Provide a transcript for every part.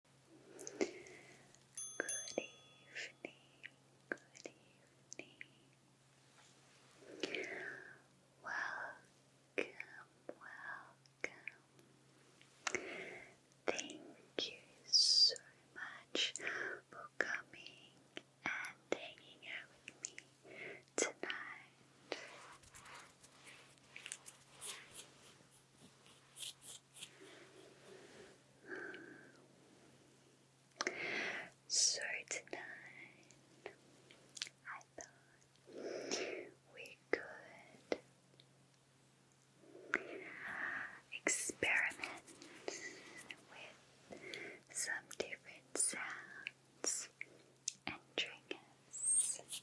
Good evening, good evening. Welcome, welcome. Thank you so much for coming and hanging out with me tonight. So tonight, I thought we could experiment with some different sounds and triggers.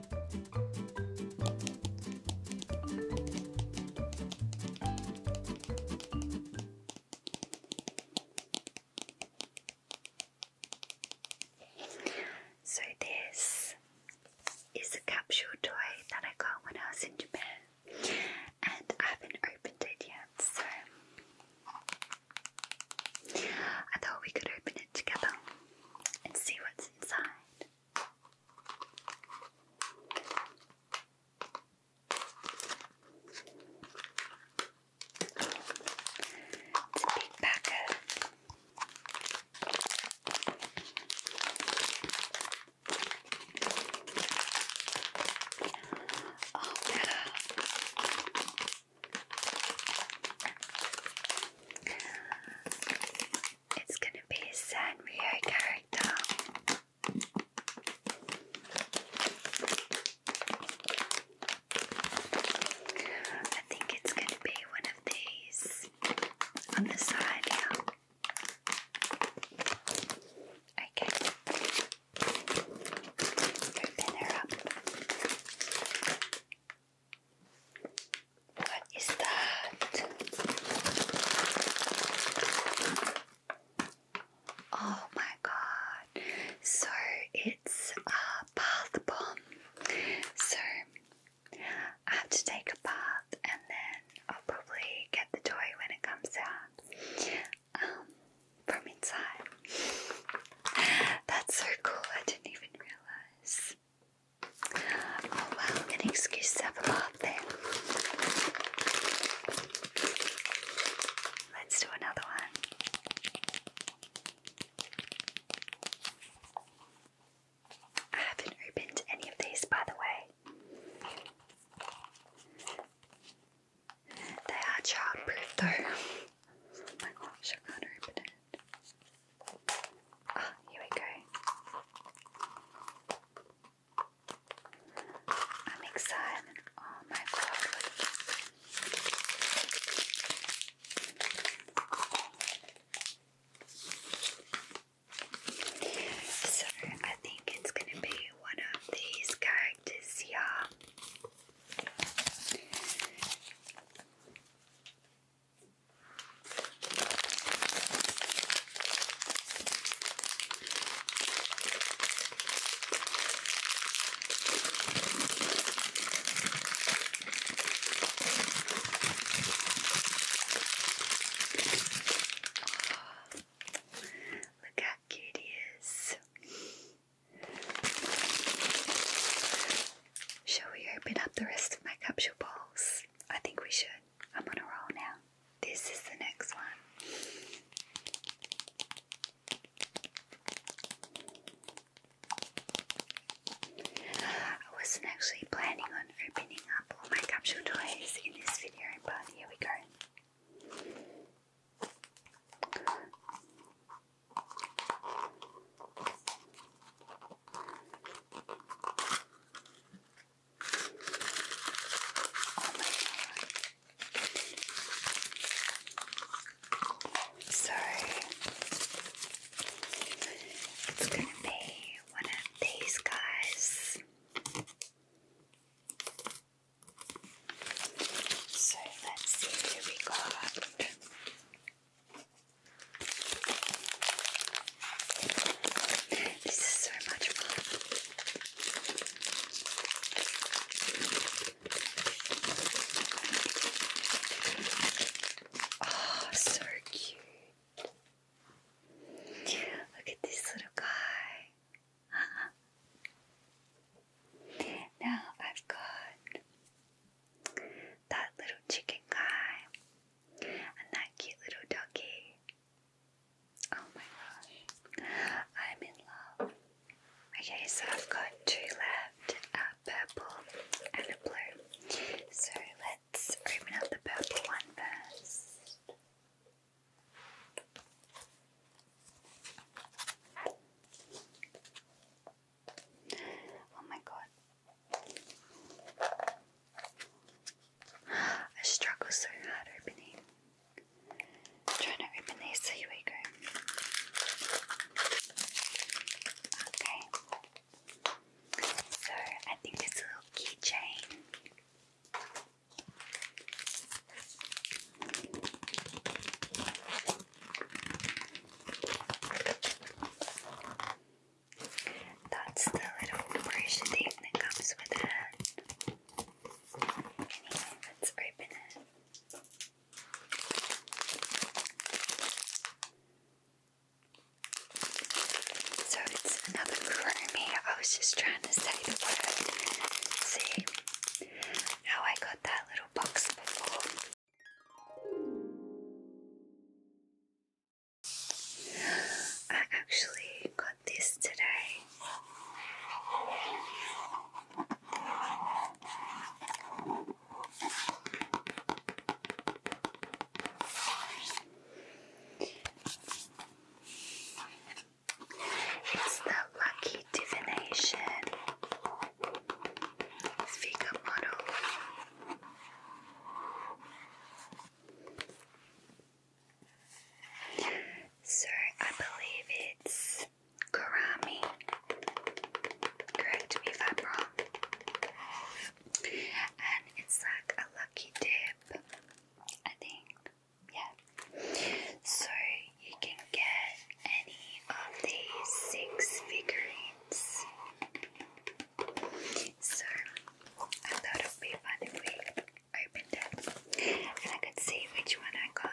So, this is a capsule toy that I got when I was in Japan, and I haven't opened it yet. So, I thought we could open it together and see what's inside. It's a big packet. Oh wow. It's gonna be a Sanrio character. I think it's gonna be one of these on the side now. Okay. Open her up. What is that? Oh my god. So it's a bath bomb. So I have to take a bath and then I'll probably get the toy when it comes out um, from inside. That's so cool, I didn't even realize. Oh wow, getting squished up a lot there. Let's do another one. I haven't opened any of these, by the way. They are childproof, though. oh I open it. Ah, here we go. I'm excited. Oh my god. So I think it's gonna be one of these characters here. Look how cute he is. Shall we open up the rest of my capsule balls? I think we should. I'm on a roll now. This is the next one. I wasn't actually planning on opening up all my capsule toys in this video, but here we go. Sorry, it's gonna be one of these guys. So let's see who we got. This is so much fun. Oh, so cute. Look at this little guy. now I've got that little chicken guy and that cute little doggy. Oh my gosh, I'm in love. Okay, so I've got two left a purple and a blue. So let's open up the purple one first. Oh my god. I struggle so hard opening. trying to open so here we Okay. So I think it's little keychain. That's the little brush thing that comes with the Anyway, let's open it. So it's another crummy. I was just trying to say the word. See, how I got that little box before. I actually got this today. It's the Lucky Divination Figure Model. So I believe it's Karami. Correct me if I'm wrong. And it's like a lucky dip, I think yeah. So you can get any of these six figurines. So I thought it would be fun if we opened it and I could see which one I got.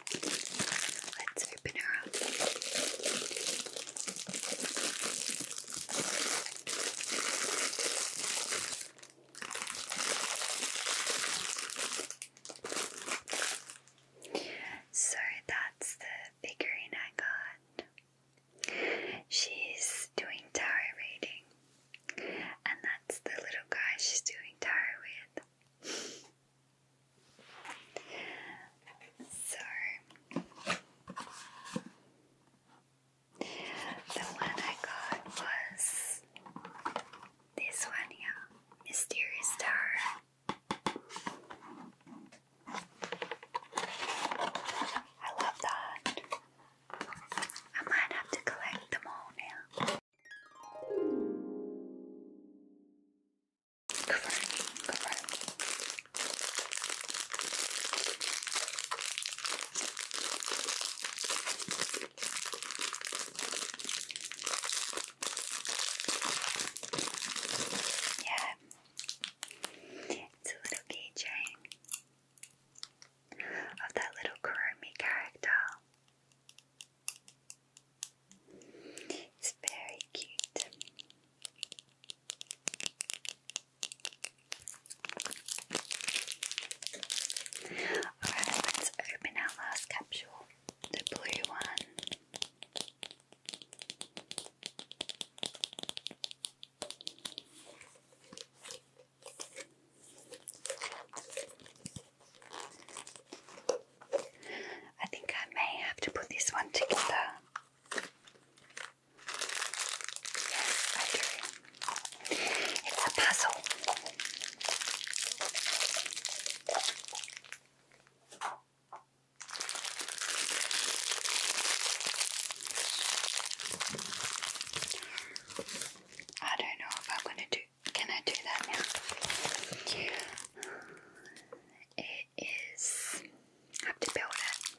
Let's open her up. So that's the figurine I got. She's doing tire reading, and that's the little guy she's doing tarot with. So the one I got was this one here, Mysterious Star. I love that. I might have to collect them all now. Cover, cover. Yeah, it's a little keychain of that little Kurumi character. It's very cute. Alright, let's open our last capsule, the blue one. I think I may have to put this one together. It's a puzzle. I don't know if I'm going to do can I do that now? It is. have to build it.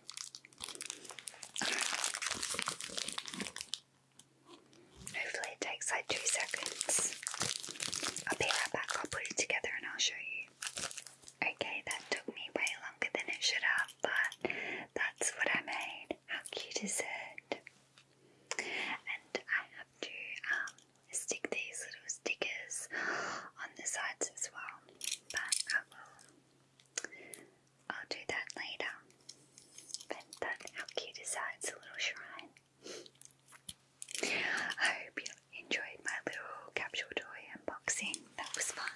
Hopefully, it takes like two seconds. I'll be right back. I'll put it together and I'll show you. Okay, that took me way longer than it should have, but that's what I made. How cute is it? And I have to um, stick these little stickers on the sides as well, but I will, do that later. But that, how cute is that? It's a little shrine. I hope you enjoyed my little capsule toy unboxing. That was fun.